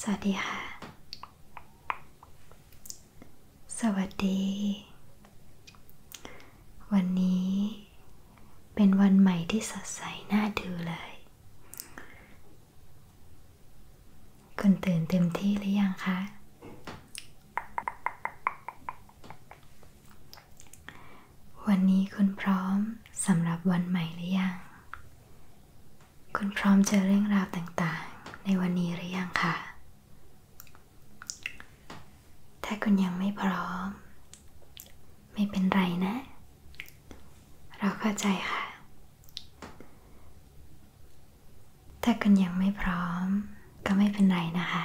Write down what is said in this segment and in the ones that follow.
สวัสดีค่ะ สวัสดี วันนี้ เป็นวันใหม่ที่สดใสน่าดูเลย คุณตื่นเต็มที่หรือยังคะ วันนี้คุณพร้อมสำหรับวันใหม่หรือยังคุณพร้อมเจอเรื่องราวต่างๆ ในวันนี้หรือยังคะถ้าคุณยังไม่พร้อม ไม่เป็นไรนะ เราเข้าใจค่ะ ถ้าคุณยังไม่พร้อม ก็ไม่เป็นไรนะคะ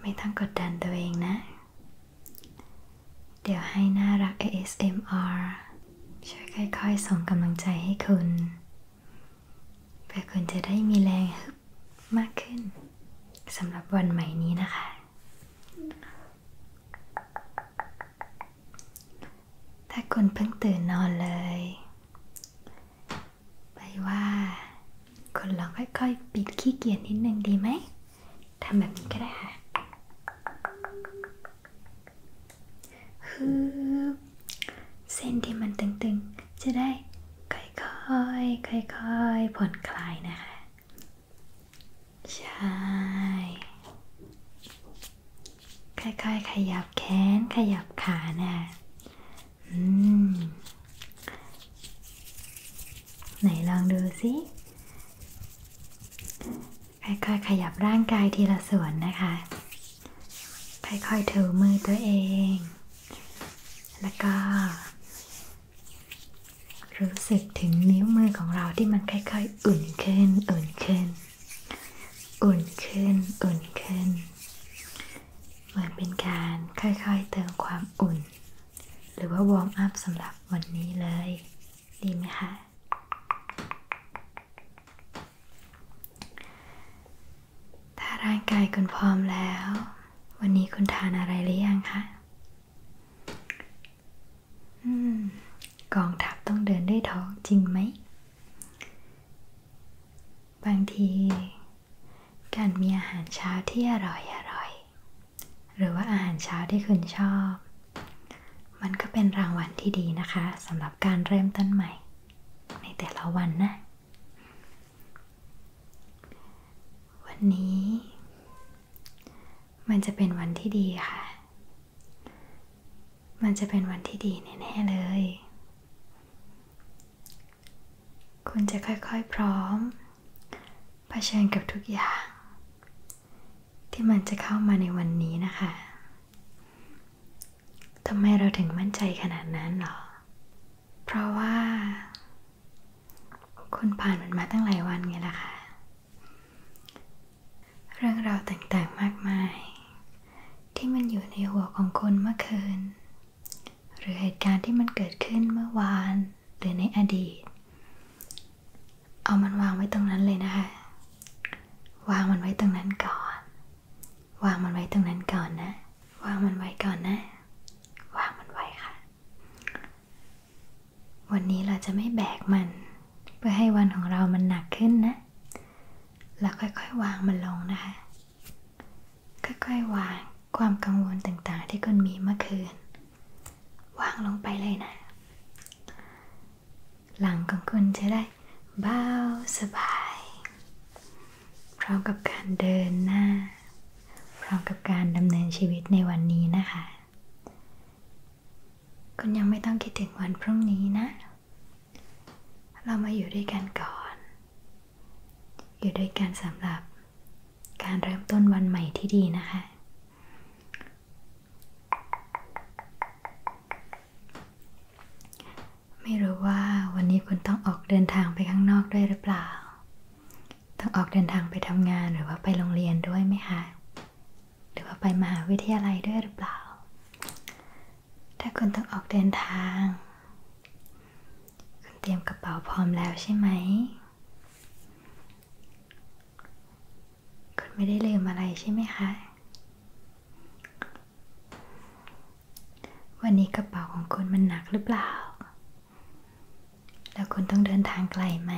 ไม่ต้องกดดันตัวเองนะเดี๋ยวให้น่ารัก ASMR ช่วยค่อยๆส่งกำลังใจให้คุณ เพื่อคุณจะได้มีแรงฮึบมากขึ้น สำหรับวันใหม่นี้นะคะ ถ้าคุณเพิ่งตื่นนอนเลย ไปว่า คุณลองค่อยๆ ปิดขี้เกียจนิดนึงดีไหมทำแบบนี้ก็ได้ค่ะฮือเส้นที่มันตึงๆ จะได้ค่อยๆ ค่อยๆ ผ่อนคลายนะคะ ใช่ ค่อยๆ ขยับแขน ขยับขานะอืมไหนลองดูสิ ค่อยๆขยับร่างกายทีละส่วนนะคะ ค่อยๆถือมือตัวเอง แล้วก็ รู้สึกถึงนิ้วมือของเราที่มันค่อยๆ อุ่นขึ้น อุ่นขึ้น อุ่นขึ้น อุ่นขึ้น เหมือนเป็นการค่อยๆเติมความอุ่นหรือว่าวอร์มอัพสำหรับวันนี้เลย ดีไหมคะถ้าร่างกายคุณพร้อมแล้ว วันนี้คุณทานอะไรหรือยังคะกองทับต้องเดินด้วยท้องจริงไหม บางที การมีอาหารเช้าที่อร่อยอร่อยหรือว่าอาหารเช้าที่คุณชอบ มันก็เป็นรางวัลที่ดีนะคะสำหรับการเริ่มต้นใหม่ ในแต่ละวันนะ วันนี้ มันจะเป็นวันที่ดีค่ะ มันจะเป็นวันที่ดีแน่ ๆ เลย คุณจะค่อยๆ พร้อมเผชิญกับทุกอย่าง ที่มันจะเข้ามาในวันนี้นะคะทำไมเราถึงมั่นใจขนาดนั้นหรอ เพราะว่า คุณผ่านมันมาตั้งหลายวันไงล่ะคะ่ะ เรื่องราวต่างๆมากมาย ที่มันอยู่ในหัวของคุณเมื่อคืน หรือเหตุการณ์ที่มันเกิดขึ้นเมื่อวานหรือในอดีต เอามันวางไว้ตรงนั้นเลยนะคะ วางมันไว้ตรงนั้นก่อน วางมันไว้ตรงนั้นก่อนนะ วางมันไว้ก่อนนะ วางมันไว้ค่ะ วันนี้เราจะไม่แบกมัน เพื่อให้วันของเรามันหนักขึ้นนะ แล้วค่อยๆวางมันลงนะคะ ค่อยๆวางความกังวลต่างๆที่คุณมีเมื่อคืนวางลงไปเลยนะ หลังของคุณจะได้เบาสบาย พร้อมกับการเดินหน้าพร้อมกับการดำเนินชีวิตในวันนี้นะคะ คุณยังไม่ต้องคิดถึงวันพรุ่งนี้นะ เรามาอยู่ด้วยกันก่อน อยู่ด้วยกันสำหรับการเริ่มต้นวันใหม่ที่ดีนะคะ ไม่รู้ว่าวันนี้คุณต้องออกเดินทางไปข้างนอกด้วยหรือเปล่า ต้องออกเดินทางไปทำงานหรือว่าไปโรงเรียนด้วยไหมคะ หรือว่าไปมหาวิทยาลัยด้วยหรือเปล่า ถ้าคุณต้องออกเดินทางเตรียมกระเป๋าพร้อมแล้วใช่ไหม คุณไม่ได้ลืมอะไรใช่ไหมคะ วันนี้กระเป๋าของคุณมันหนักหรือเปล่า แล้วคุณต้องเดินทางไกลไหม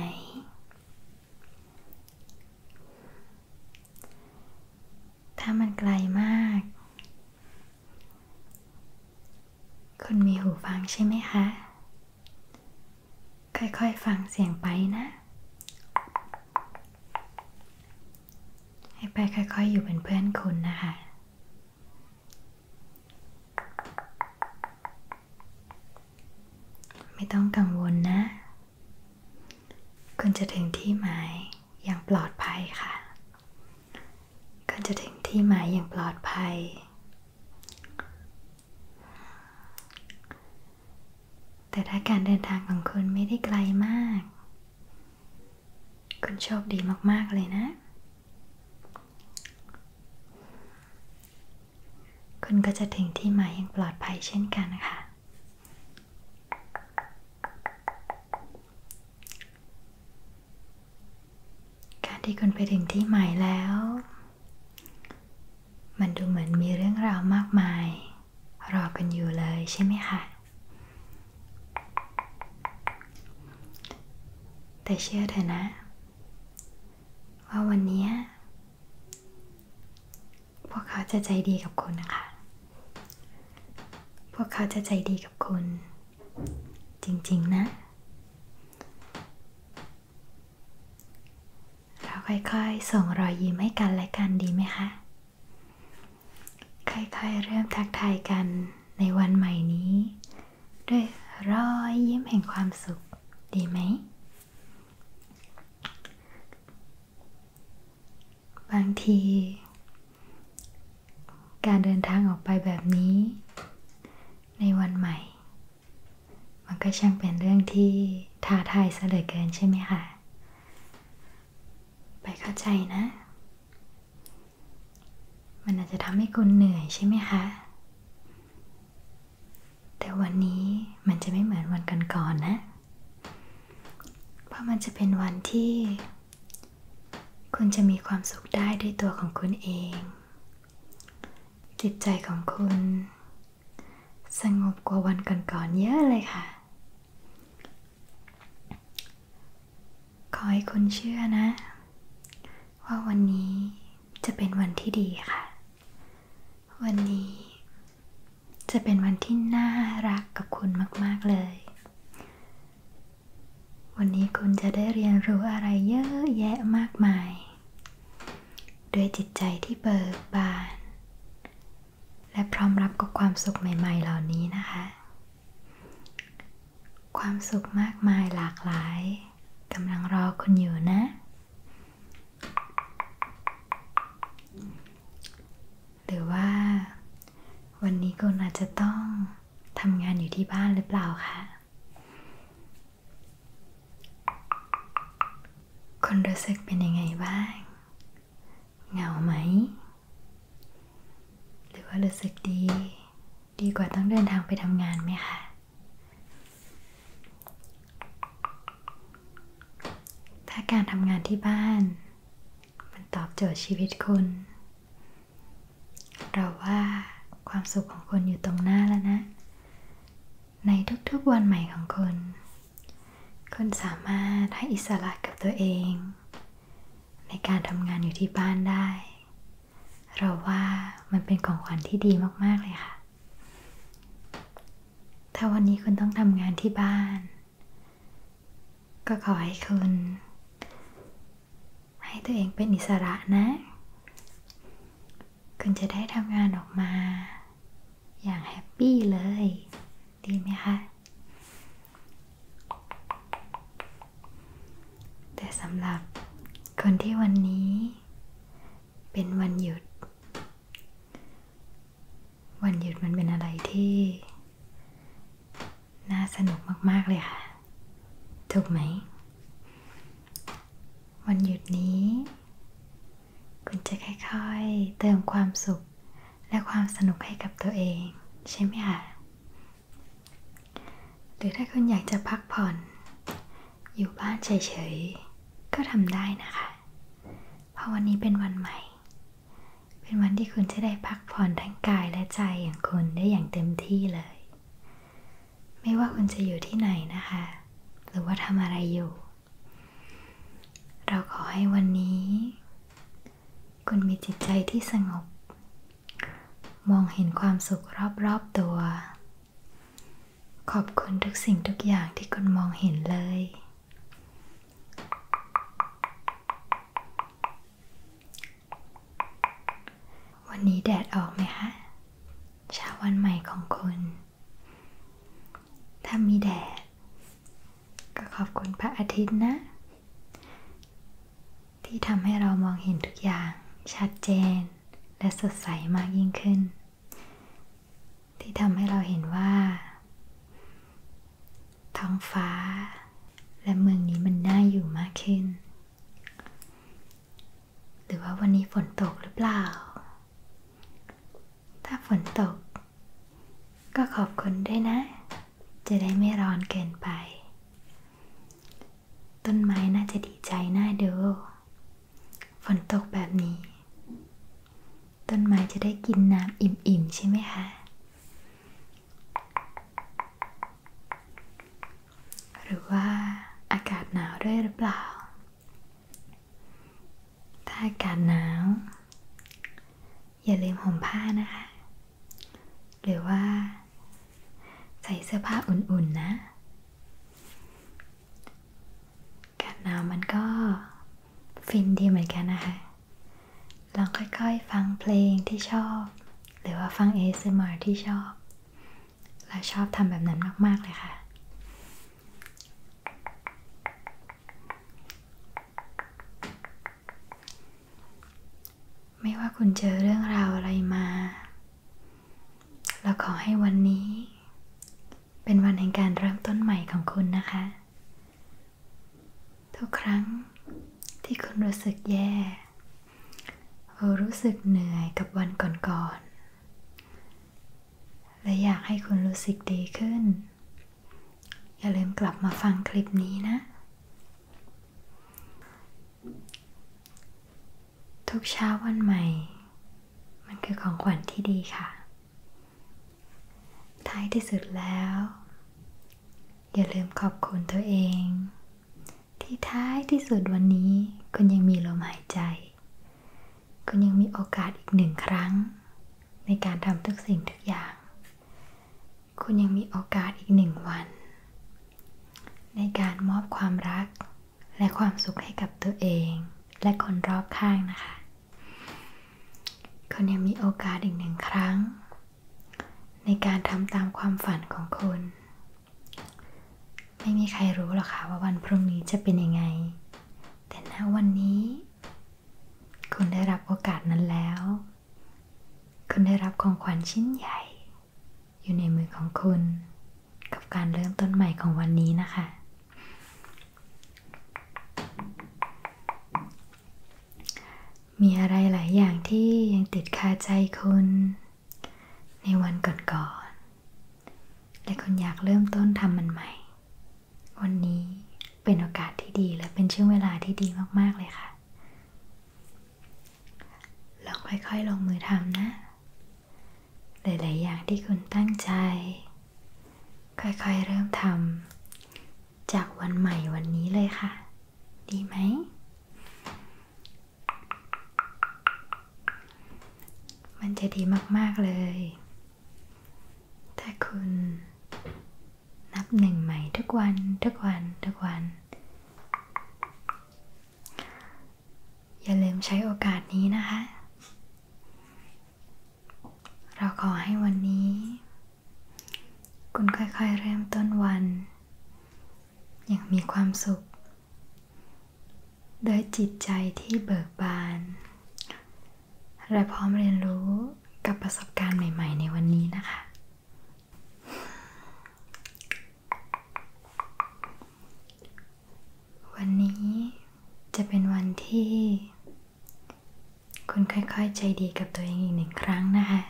ถ้ามันไกลมากคุณมีหูฟังใช่ไหมคะ ค่อยๆฟังเสียงไปนะ ให้ไปค่อย ๆอยู่เป็นเพื่อนคุณนะคะ ไม่ต้องกังวลนะ คุณจะถึงที่หมายอย่างปลอดภัยค่ะก็จะถึงที่หมายอย่างปลอดภัย แต่ถ้าการเดินทางของคุณไม่ได้ไกลมาก คุณโชคดีมากๆเลยนะ คุณก็จะถึงที่หมายอย่างปลอดภัยเช่นกันค่ะการที่คุณไปถึงที่ใหม่แล้ว มันดูเหมือนมีเรื่องราวมากมาย รอกันอยู่เลยใช่ไหมคะแต่เชื่อเถอะนะ ว่าวันนี้ พวกเขาจะใจดีกับคุณนะคะ พวกเขาจะใจดีกับคุณจริงๆนะ เราค่อยๆส่งรอยยิ้มให้กันและกันดีไหมคะค่อยๆเริ่มทักทายกันในวันใหม่นี้ ด้วยรอยยิ้มแห่งความสุข ดีไหมบางทีการเดินทางออกไปแบบนี้ ในวันใหม่ มันก็ช่างเป็นเรื่องที่ท้าทายเสลือเกินใช่ไหมคะ ไปเข้าใจนะ มันอาจจะทำให้คุณเหนื่อยใช่ไหมคะ แต่วันนี้มันจะไม่เหมือนวันก่อนๆนนะ เพราะมันจะเป็นวันที่คุณจะมีความสุขได้ด้วยตัวของคุณเอง จิตใจของคุณ สงบกว่าวันก่อนๆเยอะเลยค่ะ ขอให้คุณเชื่อนะ ว่าวันนี้จะเป็นวันที่ดีค่ะ วันนี้จะเป็นวันที่น่ารักกับคุณมากๆเลยวันนี้คุณจะได้เรียนรู้อะไรเยอะแยะมากมาย ด้วยจิตใจที่เบิกบาน และพร้อมรับกับความสุขใหม่ๆเหล่านี้นะคะ ความสุขมากมายหลากหลายกำลังรอคุณอยู่นะ หรือว่า วันนี้คุณอาจจะต้องทำงานอยู่ที่บ้านหรือเปล่าคะคุณรู้สึกเป็นยังไงบ้าง เหงาไหม หรือว่ารู้สึกดี ดีกว่าต้องเดินทางไปทำงานไหมคะ ถ้าการทำงานที่บ้าน มันตอบโจทย์ชีวิตคุณเราว่าความสุขของคนอยู่ตรงหน้าแล้วนะ ในทุกๆ วันใหม่ของคน คนสามารถให้อิสระกับตัวเอง ในการทำงานอยู่ที่บ้านได้ เราว่ามันเป็นของขวัญที่ดีมากๆเลยค่ะ ถ้าวันนี้คุณต้องทำงานที่บ้าน ก็ขอให้คุณให้ตัวเองเป็นอิสระนะ คุณจะได้ทำงานออกมา อย่างแฮปปี้เลย ดีไหมคะ แต่สำหรับคนที่วันนี้ เป็นวันหยุด วันหยุดมันเป็นอะไรที่น่าสนุกมาก ๆ เลยค่ะ ถูกไหม วันหยุดนี้ คุณจะค่อย ๆเติมความสุขและความสนุกให้กับตัวเอง ใช่ไหมคะหรือถ้าคุณอยากจะพักผ่อน อยู่บ้านเฉยๆก็ทำได้นะคะ เพราะวันนี้เป็นวันใหม่เป็นวันที่คุณจะได้พักผ่อนทั้งกายและใจ อย่างคุณได้อย่างเต็มที่เลย ไม่ว่าคุณจะอยู่ที่ไหนนะคะ หรือว่าทำอะไรอยู่ เราขอให้วันนี้ คุณมีจิตใจที่สงบ มองเห็นความสุขรอบๆตัว ขอบคุณทุกสิ่งทุกอย่างที่คุณมองเห็นเลยวันนี้แดดออกไหมคะเช้าวันใหม่ของคุณ ถ้ามีแดด ก็ขอบคุณพระอาทิตย์นะ ที่ทำให้เรามองเห็นทุกอย่างชัดเจน และสดใสมากยิ่งขึ้น ที่ทำให้เราเห็นว่าท้องฟ้า และเมืองนี้มันน่าอยู่มากขึ้น หรือว่าวันนี้ฝนตกหรือเปล่า ถ้าฝนตกก็ขอบคุณด้วยนะ จะได้ไม่ร้อนเกินไป ต้นไม้น่าจะดีใจน่าดู ฝนตกแบบนี้ ต้นไม้จะได้กินน้ำอิ่มๆใช่ไหมคะหรือว่าอากาศหนาวด้วยหรือเปล่า ถ้าอากาศหนาว อย่าลืมห่มผ้านะคะหรือว่าใส่เสื้อผ้าอุ่นๆนะอากาศหนาวมันก็ฟินดีเหมือนกันนะคะลองค่อยๆ ฟังเพลงที่ชอบ หรือว่าฟัง ASMR ที่ชอบ เราชอบทำแบบนั้นมากๆเลยค่ะ ไม่ว่าคุณเจอเรื่องราวอะไรมา เราขอให้วันนี้เป็นวันแห่งการเริ่มต้นใหม่ของคุณนะคะทุกครั้งที่คุณรู้สึกแย่หรือรู้สึกเหนื่อยกับวันก่อนๆและอยากให้คุณรู้สึกดีขึ้น อย่าลืมกลับมาฟังคลิปนี้นะ ทุกเช้าวันใหม่มันคือของขวัญที่ดีค่ะท้ายที่สุดแล้ว อย่าลืมขอบคุณตัวเอง ที่ท้ายที่สุดวันนี้ คุณยังมีลมหายใจ คุณยังมีโอกาสอีกหนึ่งครั้ง ในการทำทุกสิ่งทุกอย่าง คุณยังมีโอกาสอีกหนึ่งวัน ในการมอบความรักและความสุขให้กับตัวเอง และคนรอบข้างนะคะคุณยังมีโอกาสอีกหนึ่งครั้ง ในการทำตามความฝันของคุณ ไม่มีใครรู้หรอกค่ะว่าวันพรุ่งนี้จะเป็นยังไง แต่ณวันนี้ คุณได้รับโอกาสนั้นแล้ว คุณได้รับของขวัญชิ้นใหญ่ อยู่ในมือของคุณ กับการเริ่มต้นใหม่ของวันนี้นะคะมีอะไรหลายอย่างที่ยังติดคาใจคุณในวันก่อนๆและคุณอยากเริ่มต้นทำมันใหม่ วันนี้เป็นโอกาสที่ดีและเป็นช่วงเวลาที่ดีมากๆเลยค่ะ ลองค่อยๆลงมือทำนะ หลาย ๆ อย่างที่คุณตั้งใจค่อยๆเริ่มทำจากวันใหม่วันนี้เลยค่ะ ดีไหม มันจะดีมากๆเลยถ้าคุณ นับหนึ่งใหม่ทุกวัน ทุกวัน ทุกวัน อย่าลืมใช้โอกาสนี้นะคะ เราขอให้วันนี้คุณค่อยๆเริ่มต้นวันอย่างมีความสุขด้วยจิตใจที่เบิกบาน และพร้อมเรียนรู้กับประสบการณ์ใหม่ๆในวันนี้นะคะ วันนี้จะเป็นวันที่คุณค่อย ๆ ใจดีกับตัวเองอีกหนึ่งครั้งนะคะ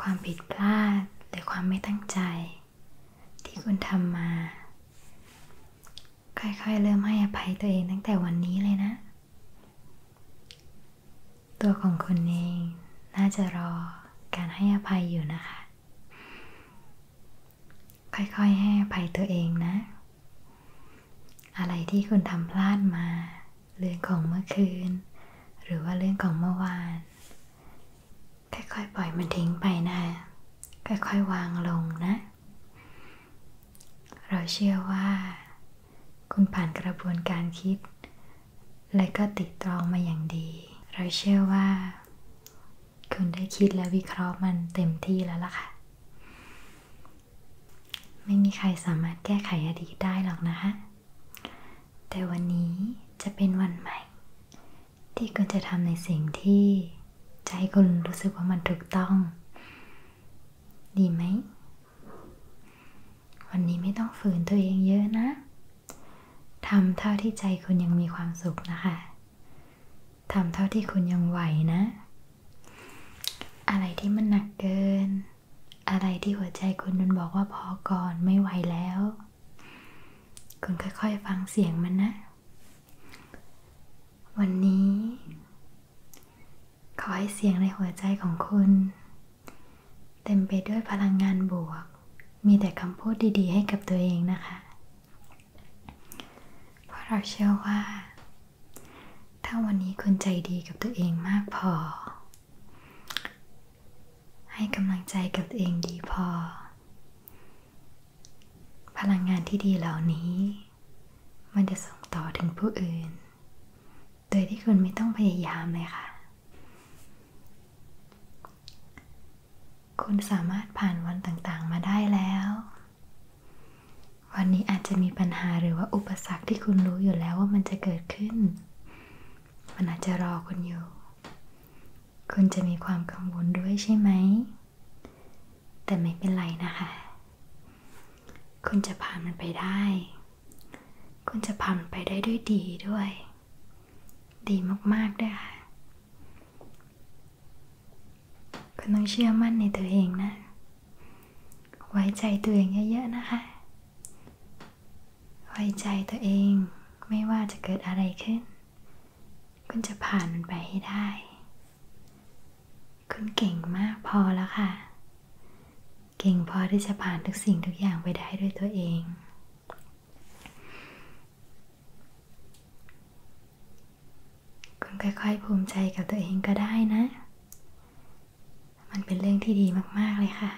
ความผิดพลาดหรือความไม่ตั้งใจ ที่คุณทำมา ค่อยๆ เริ่มให้อภัยตัวเองตั้งแต่วันนี้เลยนะ ตัวของคุณเองน่าจะรอการให้อภัยอยู่นะคะ ค่อยๆให้อภัยตัวเองนะอะไรที่คุณทำพลาดมา เรื่องของเมื่อคืน หรือว่าเรื่องของเมื่อวานค่อยๆปล่อยมันทิ้งไปนะค่อยๆวางลงนะ เราเชื่อว่า คุณผ่านกระบวนการคิด และก็ติดตรองมาอย่างดี เราเชื่อว่า คุณได้คิดและวิเคราะห์มันเต็มที่แล้วล่ะค่ะไม่มีใครสามารถแก้ไขอดีตได้หรอกนะคะ แต่วันนี้จะเป็นวันใหม่ ที่คุณจะทำในสิ่งที่ใจคุณรู้สึกว่ามันถูกต้อง ดีไหม วันนี้ไม่ต้องฝืนตัวเองเยอะนะ ทำเท่าที่ใจคุณยังมีความสุขนะคะทำเท่าที่คุณยังไหวนะ อะไรที่มันหนักเกิน อะไรที่หัวใจคุณมันบอกว่าพอก่อนไม่ไหวแล้ว คุณค่อยๆ ฟังเสียงมันนะ วันนี้ขอให้เสียงในหัวใจของคุณ เต็มไปด้วยพลังงานบวก มีแต่คำพูดดีๆ ให้กับตัวเองนะคะเพราะเราเชื่อว่า ถ้าวันนี้คุณใจดีกับตัวเองมากพอ ให้กำลังใจกับตัวเองดีพอ พลังงานที่ดีเหล่านี้ มันจะส่งต่อถึงผู้อื่น โดยที่คุณไม่ต้องพยายามเลยค่ะ คุณสามารถผ่านวันต่างๆมาได้แล้ววันนี้อาจจะมีปัญหาหรือว่าอุปสรรคที่คุณรู้อยู่แล้วว่ามันจะเกิดขึ้น มันอาจจะรอคุณอยู่ คุณจะมีความกังวลด้วยใช่ไหม แต่ไม่เป็นไรนะคะ คุณจะผ่านมันไปได้ คุณจะผ่านมไปได้ด้วยดีด้วย ดีมากๆด้วยค่ะคุณต้องเชื่อมั่นในตัวเองนะ ไว้ใจตัวเองเยอะๆ นะคะ ไว้ใจตัวเองไม่ว่าจะเกิดอะไรขึ้น คุณจะผ่านมันไปให้ได้ คุณเก่งมากพอแล้วค่ะ เก่งพอที่จะผ่านทุกสิ่งทุกอย่างไปได้ด้วยตัวเองคุณค่อยๆภูมิใจกับตัวเองก็ได้นะ มันเป็นเรื่องที่ดีมากๆเลยค่ะ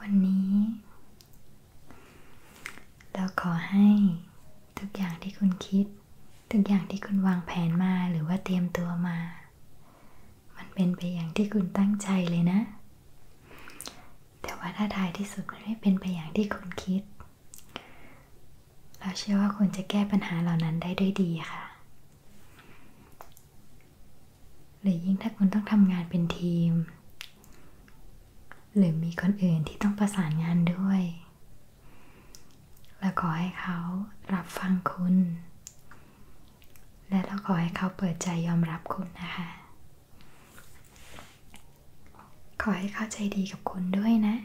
วันนี้ เราขอให้ทุกอย่างที่คุณคิด ทุกอย่างที่คุณวางแผนมาหรือว่าเตรียมตัวมามันเป็นไปอย่างที่คุณตั้งใจเลยนะ แต่ว่าถ้าท้ายที่สุดมันไม่เป็นไปอย่างที่คุณคิด เราเชื่อว่าคุณจะแก้ปัญหาเหล่านั้นได้ด้วยดีค่ะ หรือยิ่งถ้าคุณต้องทำงานเป็นทีม หรือมีคนอื่นที่ต้องประสานงานด้วย และขอให้เขารับฟังคุณและเราขอให้เขาเปิดใจยอมรับคุณนะคะ ขอให้เขาใจดีกับคุณด้วยนะ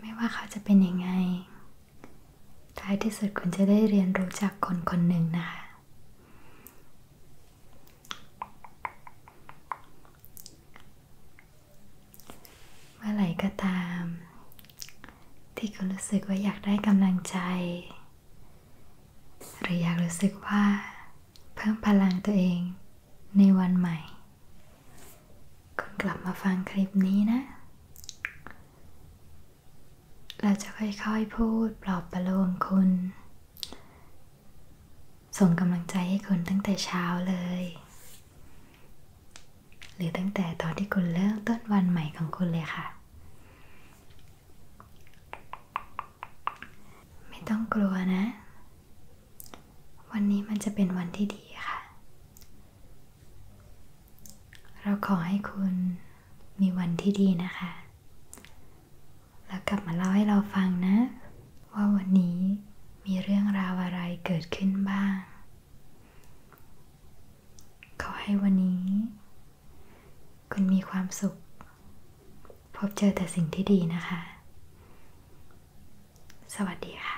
ไม่ว่าเขาจะเป็นยังไง ท้ายที่สุดคุณจะได้เรียนรู้จากคนคนหนึ่งนะคะ เมื่อไหร่ก็ตามที่คุณรู้สึกว่าอยากได้กำลังใจ หรืออยากรู้สึกว่าเพิ่มพลังตัวเองในวันใหม่ คุณกลับมาฟังคลิปนี้นะ เราจะค่อยๆพูดปลอบประโลมคุณ ส่งกำลังใจให้คุณตั้งแต่เช้าเลยหรือตั้งแต่ตอนที่คุณเริ่มต้นวันใหม่ของคุณเลยค่ะ ไม่ต้องกลัวนะ วันนี้มันจะเป็นวันที่ดีค่ะ เราขอให้คุณมีวันที่ดีนะคะ แล้วกลับมาเล่าให้เราฟังนะ ว่าวันนี้มีเรื่องราวอะไรเกิดขึ้นบ้างขอให้วันนี้ คุณมีความสุข พบเจอแต่สิ่งที่ดีนะคะ สวัสดีค่ะ